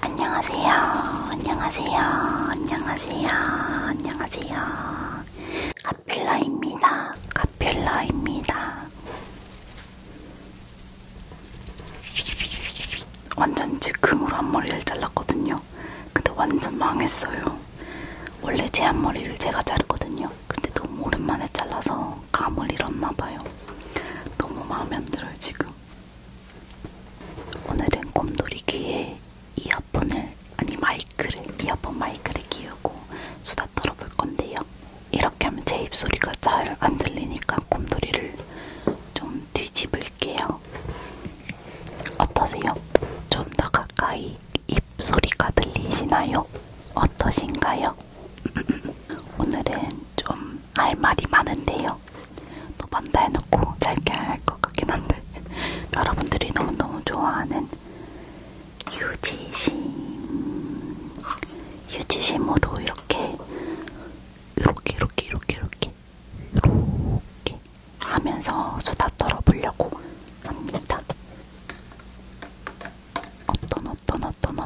안녕하세요. 안녕하세요. 안녕하세요. 안녕하세요. 카필라입니다. 카필라입니다. 완전 즉흥으로 앞머리를 잘랐거든요. 근데 완전 망했어요. 원래 제 앞머리를 제가 자르거든요. 근데 너무 오랜만에 잘라서 감을 잃었나봐요. 너무 마음에 안 들어요, 지금. 오늘은 곰돌이 귀에 이어폰을 아니 마이크를 이어폰 마이크를 끼우고 수다 떨어볼 건데요. 이렇게 하면 제 입소리가 잘 안 들리니까 곰돌이를 좀 뒤집을게요. 어떠세요? 좀 더 가까이 입소리가 들리시나요? 어떠신가요? 오늘은 좀 할 말이 많은데요. 있어요. 또 반다 해놓고 짧게 할 것 같긴 한데 여러분들이 너무너무 좋아하는 유지심 유지심으로 이렇게 이렇게 이렇게 이렇게 이렇게 이렇게 하면서 수다 떨어보려고 합니다. 어떤 어떤 어떤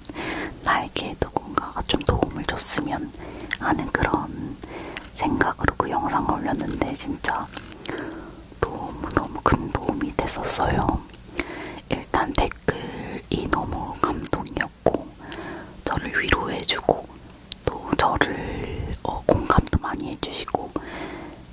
있어요. 나에게 누군가가 좀 도움을 줬으면 하는 그런 생각으로 그 영상을 올렸는데 진짜 너무너무 큰 도움이 됐었어요. 일단 댓글이 너무 감동이었고 저를 위로해주고 또 저를 어, 공감도 많이 해주시고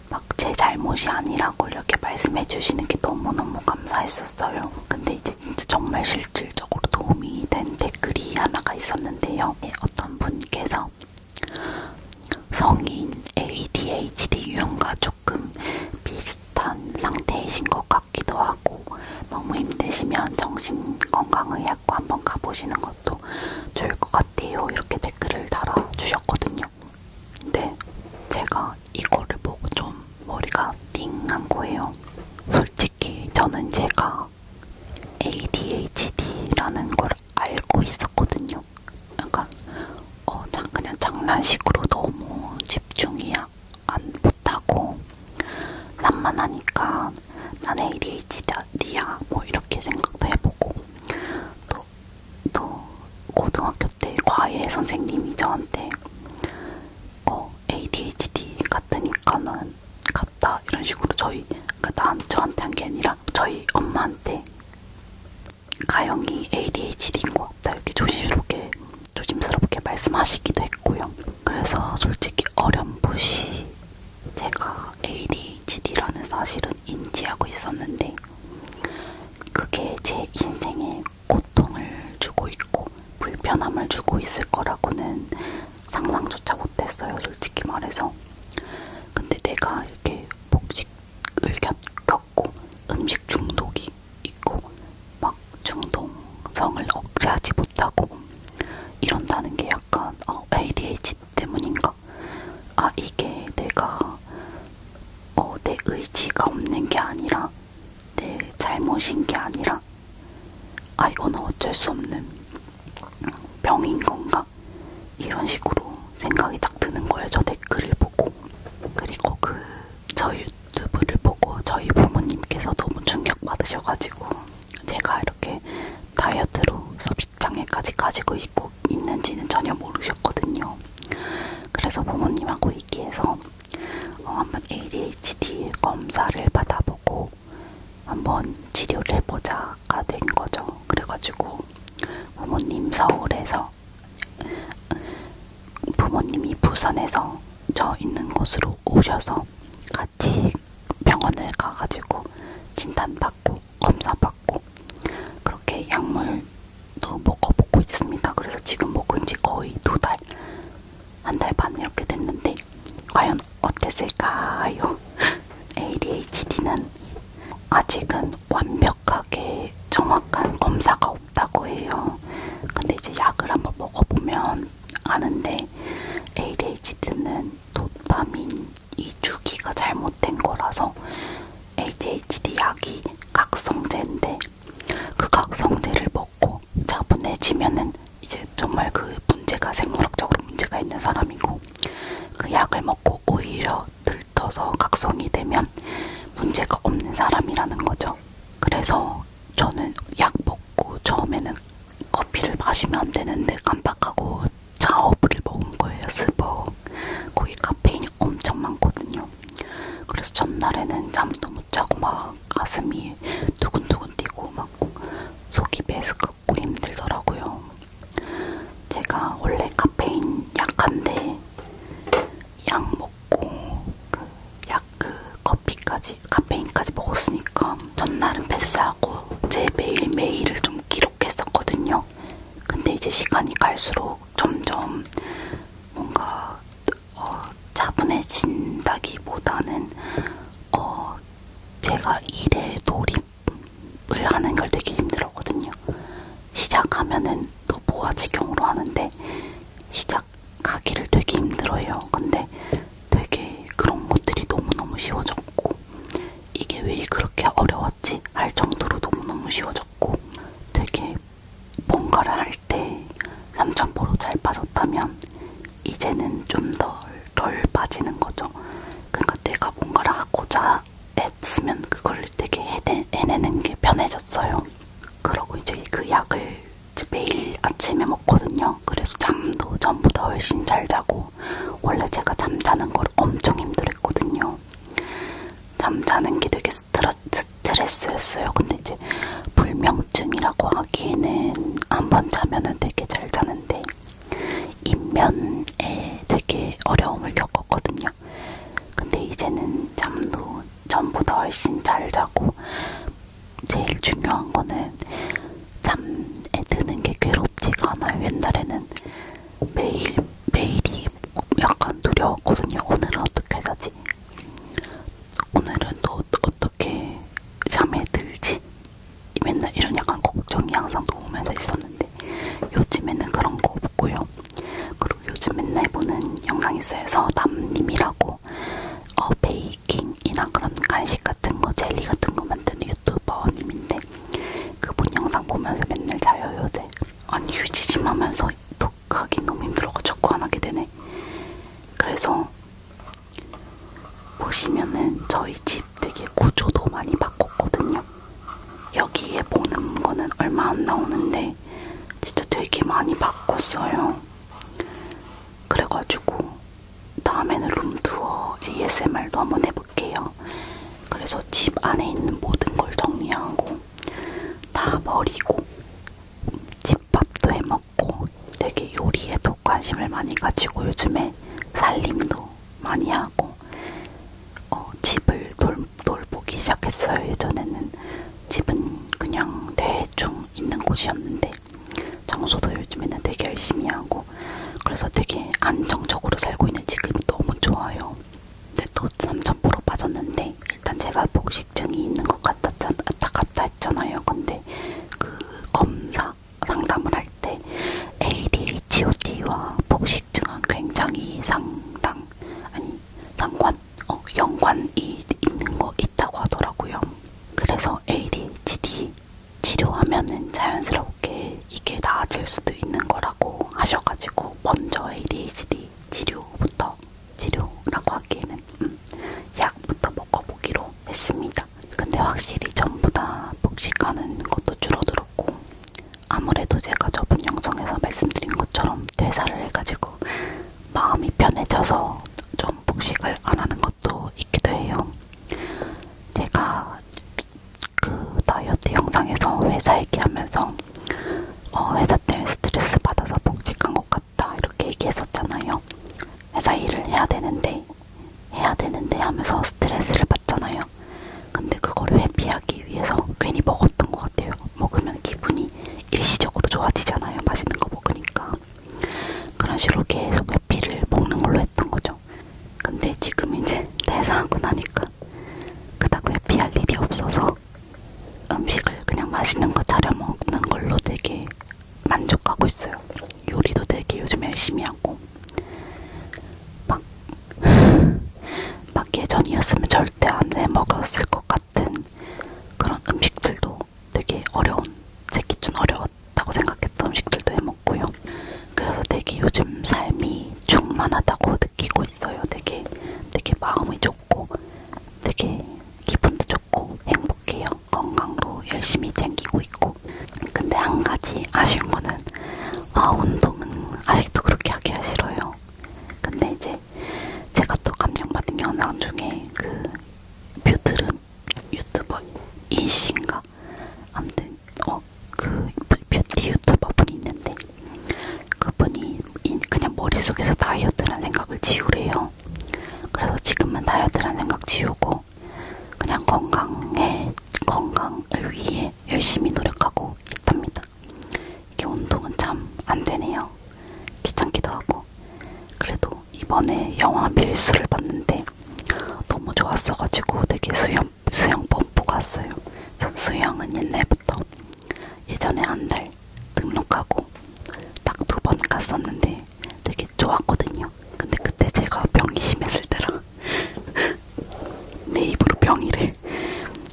막 제 잘못이 아니라고 이렇게 말씀해주시는 게 너무너무 감사했었어요. 근데 이제 진짜 정말 실질적으로 도움이 된 댓글이 하나가 있었는데요. 예, 어떤 분께서 성인 ADHD 유형과 조금 비슷한 상태이신 것 같기도 하고 너무 힘드시면 정신건강의학과 한번 가보시는 것도 좋을 것 같아요. 이렇게 댓글을 달아주셨거든요. 근데 제가 제가 이거를 보고 좀 머리가 띵한 거예요. 솔직히 저는 제가 ADHD라는 걸 알고 있었거든요. 약간 그러니까, 어, 그냥 장난식으로 너무 집중이 안 못하고 산만하니까 난 ADHD야 뭐 이렇게 생각도 해보고 또, 또 고등학교 때 과외 선생님이 저한테 어 ADHD 같으니까는 같다 이런 식으로 저희 그러니까 난 저한테 한 게 아니라 저희 엄마한테 가영이 ADHD인 것 같다 이렇게 조심스럽게 조심스럽게 말씀하시기도 했고요. 그래서 솔직히 어렴풋이 제가 ADHD라는 사실은 인지하고 있었는데 그게 제 인생에 고통을 주고 있고 불편함을 주고 있을 거라고는 상상조차 못했어요. 솔직히 말해서. 근데 내가 이렇게 복식을 겪고 음식 중독이 있고 막 중독성을 억제하지 못하고 이런다는 게 약간 어, ADHD 때문인가? 아 이게 내가 어, 내 의지가 없는 게 아니라 내 네, 잘못인 게 아니라 아 이거는 어쩔 수 없는 병인 건가 이런 식으로 생각이 딱 드는 거예요. 저 댓글을 보고 그리고 그 저 유튜브를 보고 저희 부모님께서 너무 충격 받으셔가지고 제가 이렇게 다이어트로 소식장애까지 가지고 있고 있는지는 전혀 모르셨거든요. 그래서 부모님하고 얘기해서 어, 한번 ADHD 검사를 받아보고 한번 치료를 해보자가 된 거죠. 그래가지고 부모님 서울에서 부모님이 부산에서 저 있는 곳으로 오셔서 같이 병원을 가가지고 진단받고 검사받고 그렇게 약물도 먹어보고 있습니다. 그래서 지금 먹은 지 거의 두달 한달반 이렇게 됐는데 과연 어땠을까요? ADHD는 아직은 완벽하게 정확한 검사가 없다고 해요. 근데 이제 약을 한번 먹어보면 아는데 ADHD는 도파민 2주기가 잘못된 거라서 ADHD 약이 각성제인데 그각 성질을 먹고 차분해지면은 이제 정말 그 문제가 생물학적으로 문제가 있는 사람이고 그 약을 먹고 오히려 들떠서 각성이 되면 문제가 없는 사람이라는 거죠. 그래서 저는 약 먹고 처음에는 커피를 마시면 안 되는데 깜빡하고 차업을 먹은 거예요. 스벅. 거기 카페인이 엄청 많거든요. 그래서 전날에는 잠도 못 무척 막 가슴이 두근두근 뛰고 막 속이 메스껍고 힘들더라고요. 제가 원래 카페인 약한데 약 먹고 그약그 그 커피까지 카페인까지 먹었으니까 전날은 패스하고 제 매일 매일을 좀 기록했었거든요. 근데 이제 시간이 갈수록 점점 뭔가 어, 차분해진다기보다는 어, 제가 일에 돌입을 하는 걸 되게 힘들었거든요. 시작하면은 또 무아지경으로 하는데 시작하기를 되게 힘들어요. 근데 되게 그런 것들이 너무너무 쉬워졌고 이게 왜 그렇게 어려웠지 할 정도로 너무너무 쉬워졌고 되게 뭔가를 할 때 3,000%잘 빠졌다면 이제는 좀덜덜 덜 빠지는 거죠. 그러니까 내가 뭔가를 하고자 했으면 그걸 되게 해내, 해내는 게 편해졌어요. 그러고 이제 그 약을 매일 아침에 먹거든요. 그래서 잠도 전보다 훨씬 잘 자고 원래 제가 잠자는 걸 엄청 힘들었거든요. 잠자는 게 되게 스트레, 스트레스 써요. 근데 이제 불면증이라고 하기에는 한 번 자면은 되게 잘 자는데 인면에 되게 어려움을 겪었거든요. 근데 이제는 잠도 전보다 훨씬 잘 자고 제일 중요한 거는 잠에 드는 게 괴롭지가 않아요. 옛날에는 매일 매일이 약간 두려웠거든요. 오늘은 어떻게 자지? 오늘은 또 어떻게 잠에 들지? 맨날 이런 약간 걱정이 항상 도우면서 있었는데 요즘에는 그런 거 없고요. 그리고 요즘 맨날 보는 영상에서 남님이라고 어, 베이킹이나 그런 간식 같은 거, 젤리 같은 거 만드는 유튜버님인데 그분 영상 보면서 맨날 자요 요새. 아니 유지심 하면서 또 기억하기 너무 힘들어가지고 안 하게 되네. 그래서 보시면은 저희 집 되게 구조도 많이 바꿨거든요. 여기에 보는 거는 얼마 안 나오는데 진짜 되게 많이 바꿨어요. 그래가지고 다음에는 룸투어 ASMR도 한번 해볼게요. 그래서 집 안에 있는 모든 걸 정리하고 다 버리고 집밥도 해먹고 되게 요리에도 관심을 많이 가지고 요즘에 살림도 많이 하고 어, 집을 돌, 돌보기 시작했어요. 예전에는 집은 그냥 대충 있는 곳이었는데 장소도 요즘에는 되게 열심히 하고 그래서 되게 안정적으로 살고 있는 지금 너무 좋아요. 근데 네, 또3,000% 빠졌는데 일단 제가 복식증이 있는 것 같았잖아, 같다 했잖아요. 근데 그 검사 상담을 할 때 ADHD와 복식증은 굉장히 상당 아니 상관 어 연관이 있는 거 있다고 하더라고요. 그래서 ADHD 치료하면은 자연스럽게 이게 나아질 수도 있는 거라고 하셔가지고 먼저 ADHD 저희 치료부터 치료라고 하기에는 음, 약부터 먹어보기로 했습니다. 근데 확실히 전보다 복식하는 것도 줄어들었고 아무래도 제가 저번 영상에서 말씀드린 것처럼 퇴사를 해가지고 마음이 편해져서 좀 복식을 안 하는 것도 있기도 해요. 제가 그 다이어트 영상에서 회사 얘기하면서 어, 회사 때문에 스트레스 받아서 복직한 것 같다 이렇게 얘기했었잖아요. 회사 일을 해야 되는데 해야 되는데 하면서 스트레스를 받잖아요. 근데 그걸 회피하기 위해서 괜히 먹었던 것 같아요. 먹으면 기분이 일시적으로 좋아지잖아요. 맛있는 거 먹으니까. 그런 식으로 계속 회피를 먹는 걸로 했던 거죠. 근데 지금 이제 퇴사하고 나니까 그닥 회피할 일이 없어서 음식을 그냥 맛있는 거 차려 먹는 걸로 되게 만족하고 있어요. 요리도 되게 요즘 열심히 하고 막, 막 예전이었으면 절대 안 해 먹었을 것 같은 그런 음식들도 되게 어려운 제 기준 어려웠다고 생각했던 음식들도 해먹고요. 그래서 되게 요즘 삶이 충만하다고 느끼고 있어요. 되게 되게 마음이 좋고 되게 기분도 좋고 행복해요. 건강도 열심히 챙기고 있고 근데 한 가지 아쉬운 거는 아 운동은 아직도 그렇게 하기가 싫어요. 근데 이제 제가 또 감명받은 영상 중에 그 뷰드름 유튜버 이씨인가 아무튼 어그 뷰티 유튜버 분이 있는데 그분이 그냥 머릿속에서 다이어트란 생각을 지우래요. 그래서 지금은 다이어트란 생각 지우고 그냥 건강에 건강을 위해 열심히 노력하고 있답니다. 이게 운동은 참 안 되네요. 귀찮기도 하고 그래도 이번에 영화 밀수를 봤는데 너무 좋았어가지고 되게 수영 수영 펌프 갔어요. 수영은 옛날부터 예전에 한 달 등록하고 딱 두 번 갔었는데 되게 좋았거든요. 근데 그때 제가 병이 심했을 때라 내 입으로 병이래.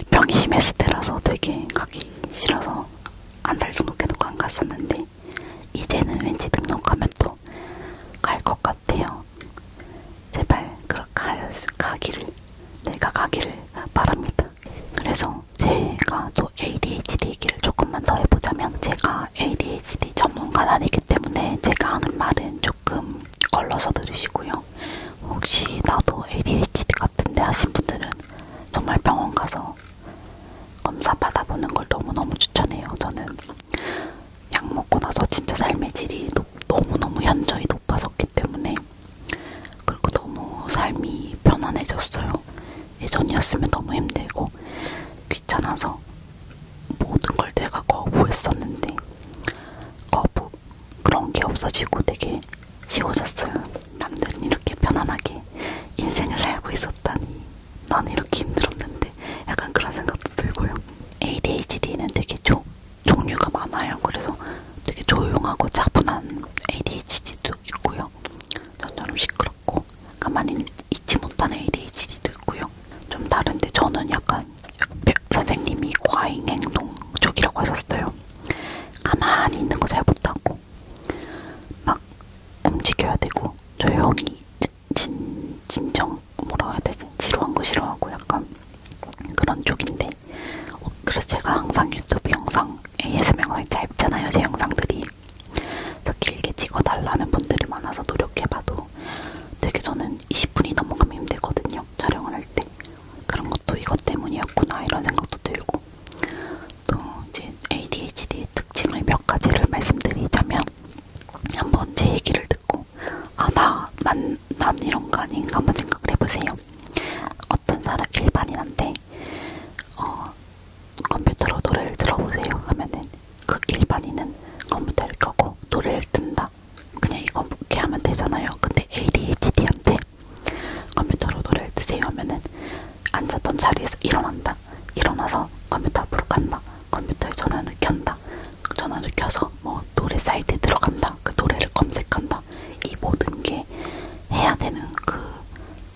병이 심했을 때라서 되게 가기 싫어서 한 달 등록해놓고 안 갔었는데 이제는 왠지 등록하면 또 갈 것 같아요. 제발 그렇게 가기를 내가 가기를 바랍니다. 그래서 제가 또 ADHD 얘기를 조금만 더 해보자면 제가 ADHD 전문가는 아니기 때문에 제가 하는 말은 조금 걸러서 들으시고요. 혹시 나도 ADHD 같은데 하신 분들은 정말 병원 가서 검사 받아보는 걸 너무너무 추천해요. 저는 약 먹고 나서 진짜 삶의 질이 너무너무 현저히 높아졌기 때문에 그리고 너무 삶이 편안해졌어요. 예전이었으면 너무 힘들고 귀찮아서 모든 걸 내가 거부했었는데 거부 그런 게 없어지고 되게 쉬워졌어요. 남들은 이렇게 편안하게 인생을 살고 있었다니 난 이렇게 힘들었는데 약간 그런 생각도 들고요. ADHD는 되게 좀 종류가 많아요. 그래서 되게 조용하고 차분한 ADHD도 있고요. 저처럼 시끄럽고 가만히 있지 못하는 ADHD도 있고요. 좀 다른데 저는 약간 선생님이 과잉 행동 쪽이라고 하셨어요. 가만히 있는 거 잘 못하고 막 움직여야 되고 조용히 진, 진정 뭐라 해야 되지? 지루한 거 싫어하고 약간 그런 쪽인데 어, 그래서 제가 항상 유튜브 영상 ASMR 영상이 짧잖아요 제 영상들이 그래서 길게 찍어달라는 분들이 많아서 노력해봐도 되게 저는 20분이 넘어가면 힘들거든요 촬영을 할 때 그런 것도 이것 때문이었구나 이런 생각도 들고 또 이제 ADHD의 특징을 몇 가지를 말씀드리자면 한번 제 얘기를 듣고 아나난 난 이런 거 아닌가 한번 생각을 해보세요. 어떤 사람 일반인한테 어, 컴퓨터로 노래를 들어보세요 하면은 그 일반인은 컴퓨터를 켜고 노래를 뜬다. 그냥 이렇게 하면 되잖아요. 근데 ADHD한테 컴퓨터로 노래를 드세요 하면은 앉았던 자리에서 일어난다. 일어나서 컴퓨터 앞으로 간다. 컴퓨터에 전화를 켠다. 전화를 켜서 뭐 노래 사이트에 들어간다. 그 노래를 검색한다. 있다. 이 모든 게 해야 되는 그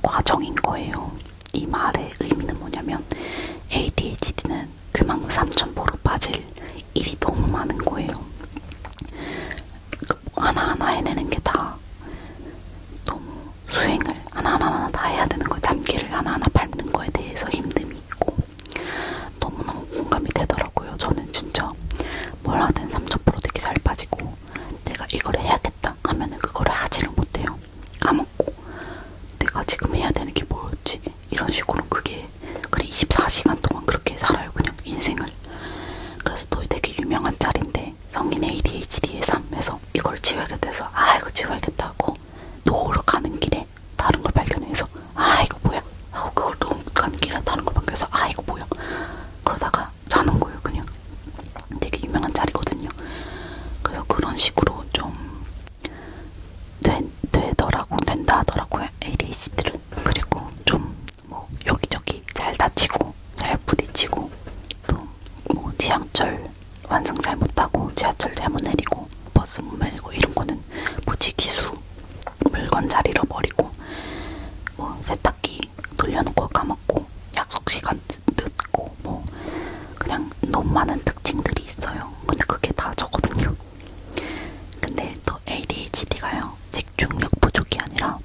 과정인 거예요. 이 말의 의미는 뭐냐면 ADHD는 그만큼 삼천보로 빠질 일이 너무 많은 거예요. 그 하나하나 해내는 게 다 너무 수행을 하나하나 다 해야 되는 거예요. 단계를 하나하나 밟는 거에 대해서 힘듦이 있고 너무너무 공감이 되더라고요. 저는 진짜 뭘 하든 3000% 되게 잘 빠지고 내가 이걸 해야겠다 하면은 그거를 하지를 못해요. 까먹고 내가 지금 해야 되는 게 뭐였지? 이런 식으로 그게 그래 24시간 동안 그렇게 살아요 그냥 인생을. 그래서 또 되게 유명한 짤인데 성인 ADHD의 삶에서 이걸 지워야겠다 해서 아 이거 지워야겠다 하고 노후로 가는 길에 다른 걸 발견해서 아 이거 뭐야 하고 어, 그걸 너무 간길하다는 거만 그래서 아 이거 뭐야 그러다가 자는 거예요 그냥 되게 유명한 자리거든요 그래서 그런 식으로 좀 되, 되더라고 된다 하더라고요 ADHD들은 그리고 좀 뭐 여기저기 잘 다치고 잘 부딪히고 또 뭐 지하철 완승 잘못하고 지하철 잘못 내리고 버스 못 내리고 이런 거는 무지기수 물건 잘 잃어버리고 뭐 세탁기 돌려놓고 까먹고 약속 시간 늦고 뭐 그냥 너무 많은 특징들이 있어요. 근데 그게 다 저거든요. 근데 또 ADHD가요. 집중력 부족이 아니라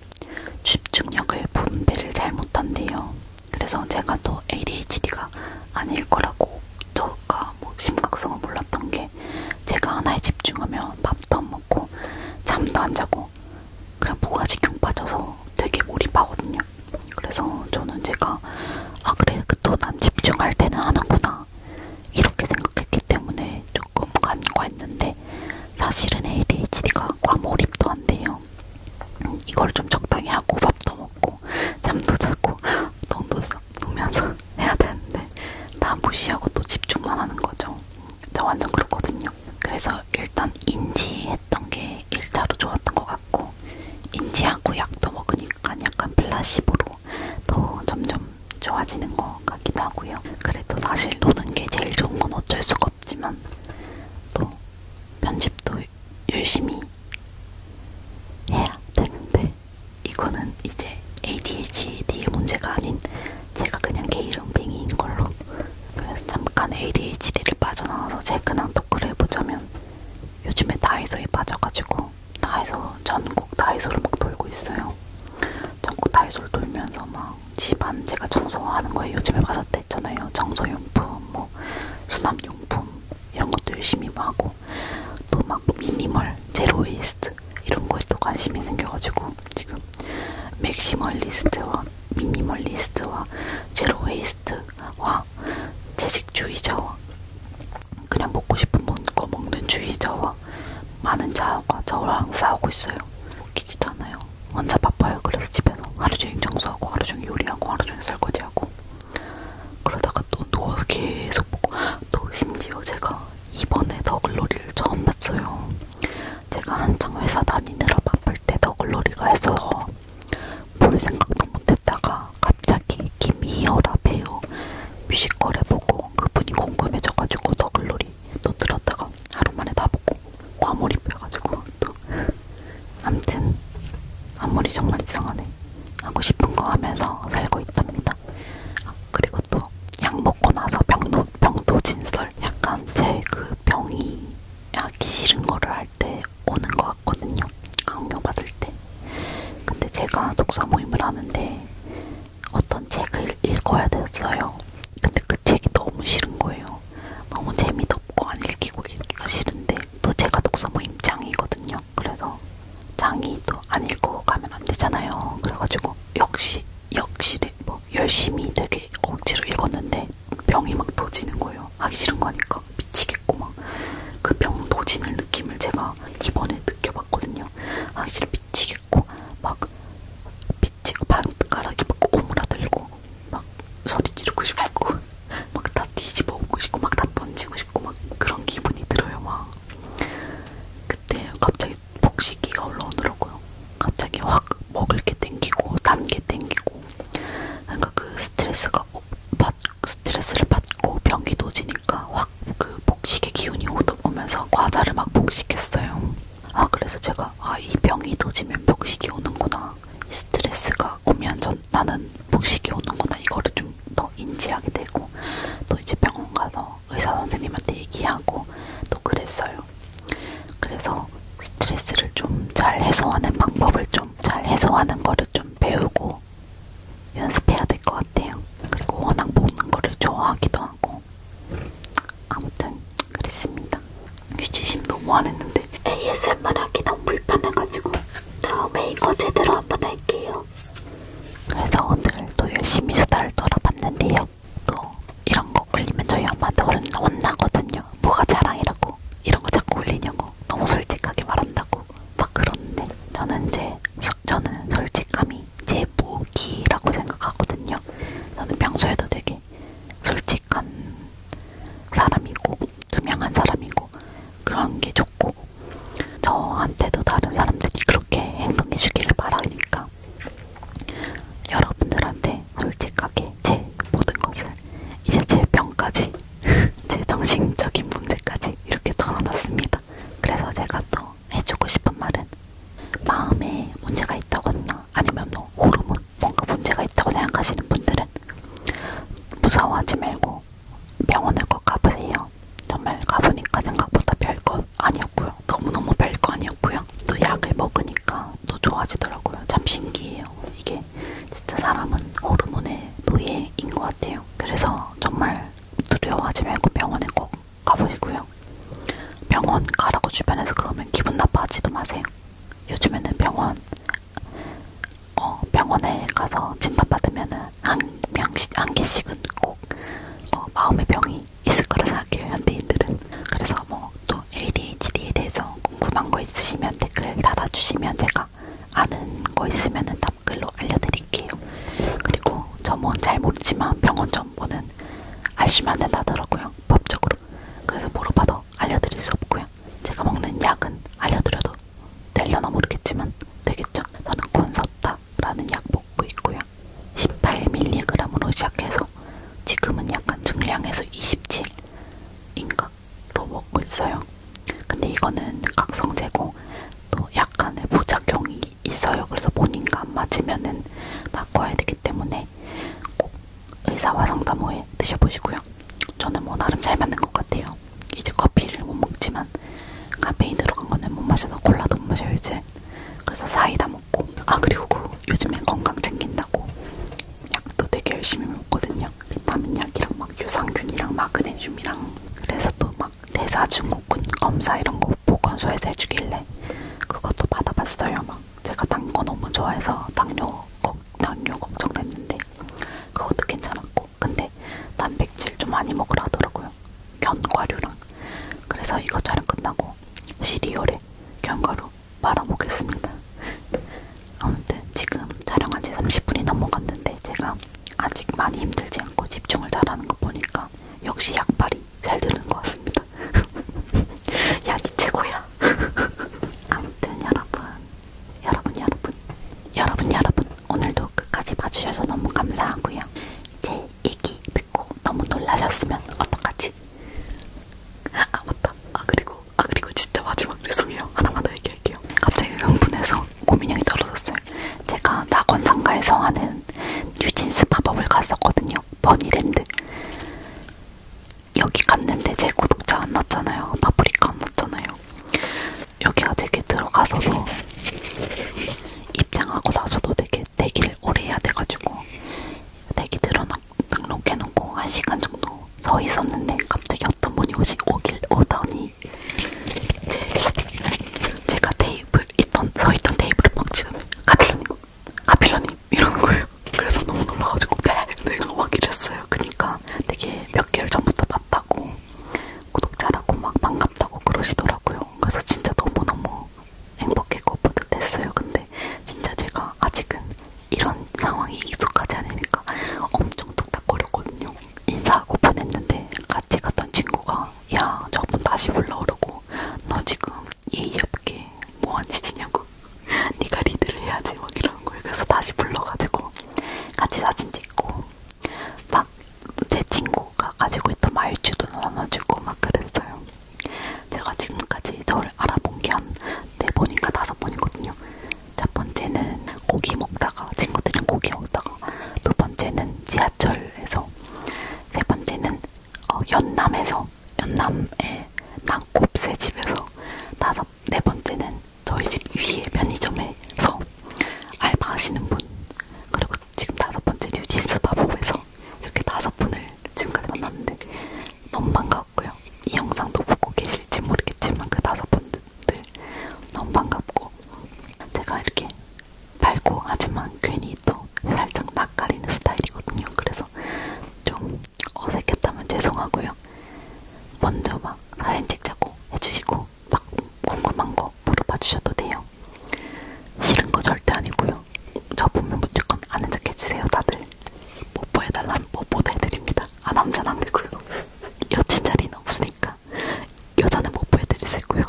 집중력을 분배를 잘 못한대요. 그래서 제가 또 ADHD가 아닐 거라고 저가 뭐 심각성을 몰랐던 게 제가 하나에 집중하면 밥도 안 먹고 잠도 안 자고 그냥 무아지경 빠져서 되게 몰입하거든요. 그래서 저는 제가 아 그래 또 난 집중할 때는 하는구나 이렇게 생각했기 때문에 조금 간과했는데 사실은 ADHD가 과몰입도 안 돼요. 이걸 좀 적당히 하고 밥도 먹고 잠도 자고 똥도 쏘면서 해야 되는데 다 무시하고 또 집중만 하는 거죠. 저 완전 그렇거든요. 그래서 일단 인지했던 게 1차로 좋았던 것 같고 인지하고 약도 먹으니까 약간 플라시보로 더 점점 좋아지는 것 같기도 하고요. 그래도 사실 노는 게 제일 좋은 건 어쩔 수가 없지만 또 편집도 열심히 해야 되는데 이거는 이제 ADHD의 문제가 아닌 제가 그냥 게이름뱅이인 걸로 그래서 잠깐 ADHD를 빠져나와서 제 근황 토크를 해보자면 요즘에 다이소에 빠져가지고 다이소 전국 다이소를 막 돌고 있어요. 전국 다이소를 돌면서 막 집안 제가 청소하는 거에 요즘에 빠졌다 했잖아요. 청소용품, 뭐 수납용품 이런 것도 열심히 뭐 막 하고 또 막 미니멀, 제로웨이스트 리스트 이런 거에 또 관심이 생겨가지고 지금 맥시멀리스트와 미니멀리스트와 제로웨이스트와 채식주의자와 그냥 먹고 싶은 거 먹는 주의자와 많은 자아가 저랑 싸우고 있어요. 웃기지도 않아요. 혼자 바빠요. 그래서 집에서 하루 종일 청소하고 하루 종일 요리하고 하루 종일 설거지하고 그러다가 또 누워서 계속 보고 또 심지어 제가 이번에 더글로리를 처음 봤어요. 제가 한창 회사 다니느라 바쁠 때 더글로리가 했어서 볼 생각도 못했다가 갑자기 김희열아 배우 뮤지컬 해보고 그분이 궁금해져가지고 더글로리 또 들었다가 하루 만에 다 보고 과몰입해가지고 또 암튼 앞머리 정말 이상하네 하고 싶은 거 하면서 살고 있답니다. 아, 그리고 그것도 약 먹고 나서 병도, 병도 진설 약간 제 그 병이 하기 싫은 거를 할 때 오는 것 같거든요. 강요받을 때. 근데 제가 독서 모임을 하는데 어떤 책을 읽어야 됐어요. 근데 그 책이 너무 싫은 거예요. 너무 재미도 없고 안 읽히고 읽기가 싫은데 또 제가 독서 모임장이거든요. 그래서 장이 또 안 읽고 가면 안 되잖아요. 그래가지고 역시 역시래 뭐 열심히 되게 억지로 읽었는데 병이 막 도지는 거예요. 하기 싫은 거니까 미치겠고 막 그 병 도지는 느낌을 제가 이번에 느껴봤거든요. 하기 싫어 미치겠고 막 미치고 발가락이 막 오므라들고 막 소리 지르고 싶고 막 다 뒤집어 엎고 싶고 막 다 던지고 싶고 막 그런 기분이 들어요. 막 그때 갑자기 복식이가 올라오더라고요. 갑자기 확 먹을 게 땡기고 단게 땡기고 그러니까 그 스트레스가 받, 스트레스를 받고 병이 도지니까 확 그 복식의 기운이 오면서 과자를 막 복식했어요. 아 그래서 제가 아 이 병이 도지면 복식이 오는구나. 이 스트레스가 오면 전 나는 복식이 오는구나 이거를 좀 더 인지하게 되고 또 이제 병원 가서 의사 선생님한테 얘기하고 또 그랬어요. 그래서 스트레스를 좀 잘 해소하는 방법을 좀 잘 해소하는 거를 좀 배우고 연습해야 될 것 같아요. 그리고 워낙 먹는 거를 좋아하기도 하고 아무튼 그랬습니다. 유지심 너무 안 했는데 ASMR 하기 너무 불편해가지고 다음에 이거 제대로 한번 할게요. 그래서 오늘 또 열심히 수다를 떨어봤는데요. 또 그 이런 거 올리면 저희 엄마한테 혼나거든요. 뭐가 자랑이라고 이런 거 자꾸 올리냐고 너무 솔직하게 말한다고 막 그러는데 저는 이제 저는 솔직함이 제 무기라고 생각하거든요. 저는 평소에도 되게 솔직한 사람이고 투명한 사람이고 그런 게 좋고 저한테도 다른 사람들이 그렇게 행동해 주기를 바라니까 여러분들한테 솔직하게 제 모든 것을 이제 제 병까지 제 정신적인 문제까지 이렇게 털어놨습니다. 그래서 제가 또 해주고 싶은 말은 마음에 문제가 있다거나 아니면 뭐 호르몬 뭔가 문제가 있다고 생각하시는 분들은 무서워하지 말고 병원을 꼭 가보세요. 정말 가보니까 생각보다 별것 아니었고요. 너무너무 별거 아니었고요. 또 약을 먹으니까 또 좋아지더라고요. 참 신기해요. 이게 진짜 사람은 호르몬의 노예인 것 같아요. 그래서 정말 두려워하지 말고 병원에 꼭 가보시고요. 병원 가라고 주변에서 그러면 기분 나빠하지도 마세요. 요즘에는 병원, 어, 병원에 가서 진단받으면은 한 명씩 한 개씩은 꼭 어, 마음의 병이 있을 거라 생각해요 현대인들은. 그래서 뭐 또 ADHD에 대해서 궁금한 거 있으시면 댓글 달아주시면 제가 아는 거 있으면은 답글로 알려드릴게요. 그리고 점원 뭐 잘 모르지만 병원 정보는 알시면 된다더라고요 법적으로. 그래서 물어봐도 알려드릴 수 없고요. 제가 먹는 약은 알려드려도 될려나 모르겠지만 되겠죠. 저는 콘서트 라는 약 먹고 있고요. 18mg으로 시작해서 지금은 약간 증량해서 27인가로 먹고 있어요. 근데 이거는 각성제고 또 약간의 부작용이 있어요. 그래서 본인과 안 맞으면은 바꿔야 되기 때문에 꼭 의사와 상담 후에 드셔보시고요. 저는 뭐 나름 잘 맞는 것 같아요. 이제 커피를 못 먹지만 카페인 들어간 거는 못 마셔서 콜라도 못 마셔요 이제. 그래서 사이다 먹고. 아 그리고 그 요즘엔 건강 챙긴다고 약도 되게 열심히 먹거든요. 비타민 약이랑 막 유산균이랑 마그네슘이랑. 그래서 또 막 대사증후군 검사 이런 거 보건소에서 해주길래 그것도 받아봤어요. 막 제가 단거 너무 좋아해서 당뇨 걱 당뇨 걱정됐는데 그것도 괜찮았고 근데 단백질 좀 많이 먹으라 하더라고요. 견과류랑. 그래서 이거 촬영 끝나고 시리얼에 견과류 말아보겠습니다. 아무튼 지금 촬영한 지 30분이 넘어갔는데 제가 아직 많이 힘들지 않고 집중을 잘하는 거 보니까 역시 약발이 잘 드는 것 같습니다. 약이 최고야. 아무튼 여러분, 여러분, 여러분, 여러분, 여러분. 오늘도 끝까지 봐주셔서 너무 감사하고요. 제 얘기 듣고 너무 놀라셨으면 어떡하지? 아 맞다. 아 그리고 아 그리고 진짜 마지막 죄송해요. 하나만 더 얘기할게요. 갑자기 흥분해서 고민형이 떨어졌어요. 제가 낙원상가에서 하는 뉴진스 팝업을 갔었거든요. 버니랜드. 여기 갔는데 제 구독자 안 났잖아요. 파프리카 안 났잖아요. 여기 어떻게 들어가서도 입장하고 나서도 되게 대기를 오래 해야 돼가지고 대기 들어놓 등록해놓고 한 시간 정도 서 있었는데 갑자기 어떤 분이 오시 오길 오더니 제, 제가 테이블 있던 서 있던 테이블을 박치더니 가필러님 가필러님 이러는 거예요. 그래서 너무 놀라가지고 내가 막 이랬어요. 그러니까 되게 몇 개월 전부터 봤다고. 구독자라고 막 반갑다고 그러시더라고요. 그래서 진짜 너무너무 행복했고 뿌듯했어요. 근데 진짜 제가 아직은 이런 상황이 익숙하지 않으니까 엄청 뚝딱거렸거든요. 인사하고 보냈는데 같이 갔던 친구가 야 저분 다시 불러오라고 너 지금 예의 없게 뭐하는 짓이냐고 네가 리드를 해야지 막 이러는 거예요. 그래서 다시 불러가지고 같이 사진 찍고 막제 친구가 가지고 있던 말주도 나눠주고 막 그랬어요. 제가 지금까지 저를 알아본 게 한 네 번인가 다섯 번이거든요. 첫 번째는 고기 먹다가 친구들이랑 고기 먹다가 두 번째는 지하철에서 세 번째는 어, 연남에서 연남의 낙곱새 집에서 다섯 네 번째는 저희 집 위에 편의점에서 알바하시는 분 그리고 지금 다섯 번째 뉴진스 바보에서 이렇게 다섯 분을 지금까지 만났는데 너무 반가웠고요. 이 영상도 보고 계실지 모르겠지만 그 다섯 분들 너무 반갑고 제가 이렇게 밝고 하지만 괜히 또 살짝 낯가리는 스타일이거든요. 그래서 좀 어색했다면 죄송하고요. 먼저 막 사진 찍자고 해주시고 있어서 막 궁금한 거 물어봐 주셔도 돼요. 싫은 거 절대 아니고요. 저 보면 무조건 아는 척 해주세요, 다들. 뽀뽀 해달라면 뽀뽀도 해드립니다. 아, 남자는 안 되고요. 여친 자리는 없으니까 여자는 뽀뽀 해드릴 수 있고요.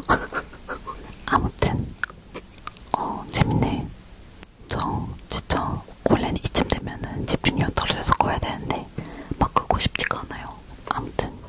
아무튼 어 재밌네. 저 진짜 원래는 이쯤 되면은 집중력 떨어져서 꺼야 되는데 막 끄고 싶지가 않아요. 아무튼